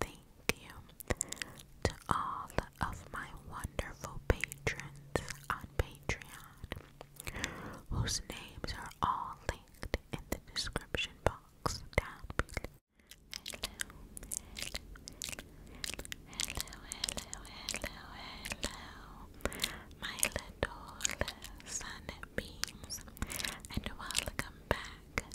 Thank you to all of my wonderful patrons on Patreon, whose names are all linked in the description box down below. Hello, hello, hello, hello, my little sunbeams, and welcome back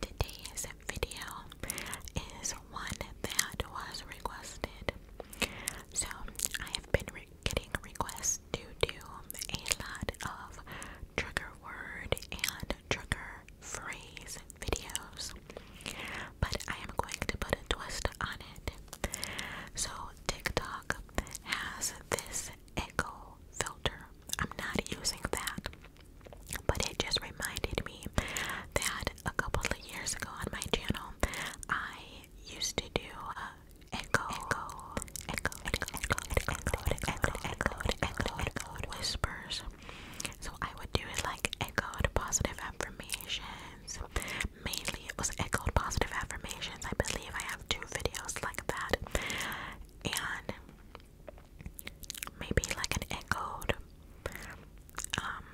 Today's video is one that was requested. So, I have been getting requests to do a lot of trigger word and trigger phrase videos, but I am going to put a twist on it. So, TikTok has this echo filter. I'm not using that. But it just reminded me that a couple of years ago on my channel, I used to do echo, whispers. So I would do it like echoed positive affirmations. Mainly, it was echoed positive affirmations. I believe I have two videos like that, and maybe like an echoed um,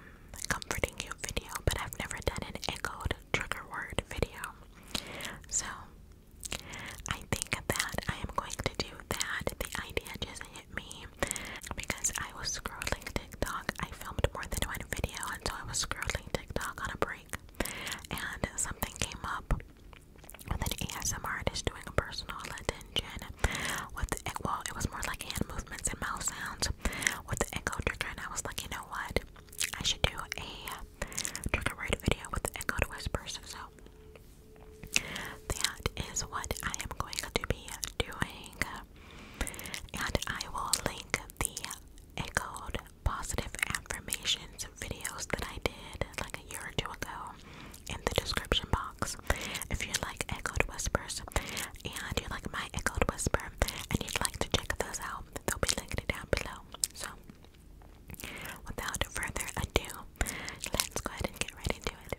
comforting you video, but I've never done an echoed trigger word video. So I think that I am going to do that. The idea just hit me because I was scrolling TikTok. I filmed more than one video until I was scrolling TikTok on a break and something came up with ASMR artist doing a personal attention with the well, it was more like hand movements and mouth sounds with the echo trigger, I was like, you know what, I should do a trigger word video with the echo whispers. So that is what I am going to be doing, and I will link the echoed positive affirmations videos that I did like a year or two ago in the description box. If you like Echoed Whispers and you like my Echoed Whisper and you'd like to check those out, they'll be linked down below. So, without further ado, let's go ahead and get right into it.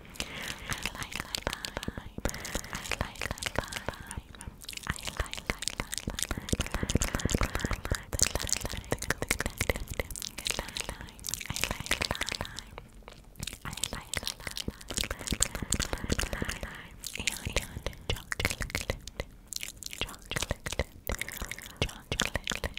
like lime. I like lime. I like I like and chocolate, chocolate, chocolate,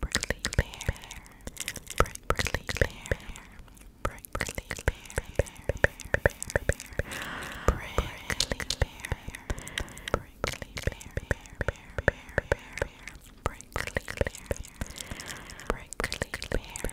Prickly Bear, Prickly Bear, Prickly Bear, Prickly Bear, Prickly Bear, Prickly Bear, Prickly Bear, Prickly Bear, Prickly Bear, Prickly Bear,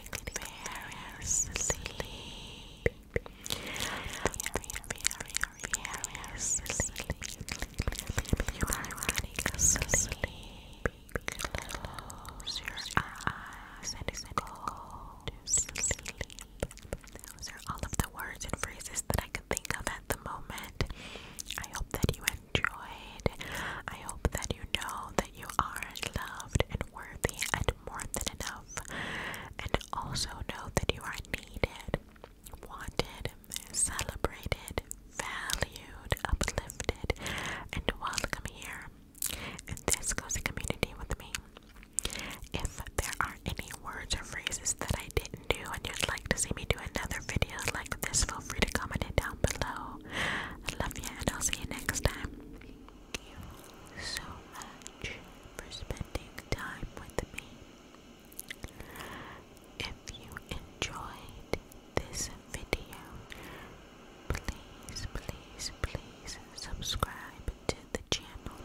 very sleepy. Very, very, very sleepy. You are getting sleepy. Close your eyes and go Those are all of the words and phrases that I could think of at the moment. I hope that you enjoyed. I hope that you know that you are loved and worthy and more than enough. And also know that you are needed, wanted, celebrated, valued, uplifted, and welcome here And this goes to community with me. If there are any words or phrases that I didn't do and you'd like to see me do another video like this, feel free to comment it down below. I love you, and I'll see you next time. Thank you so much for spending time with me. If you enjoyed this video, please, please, please subscribe to the channel.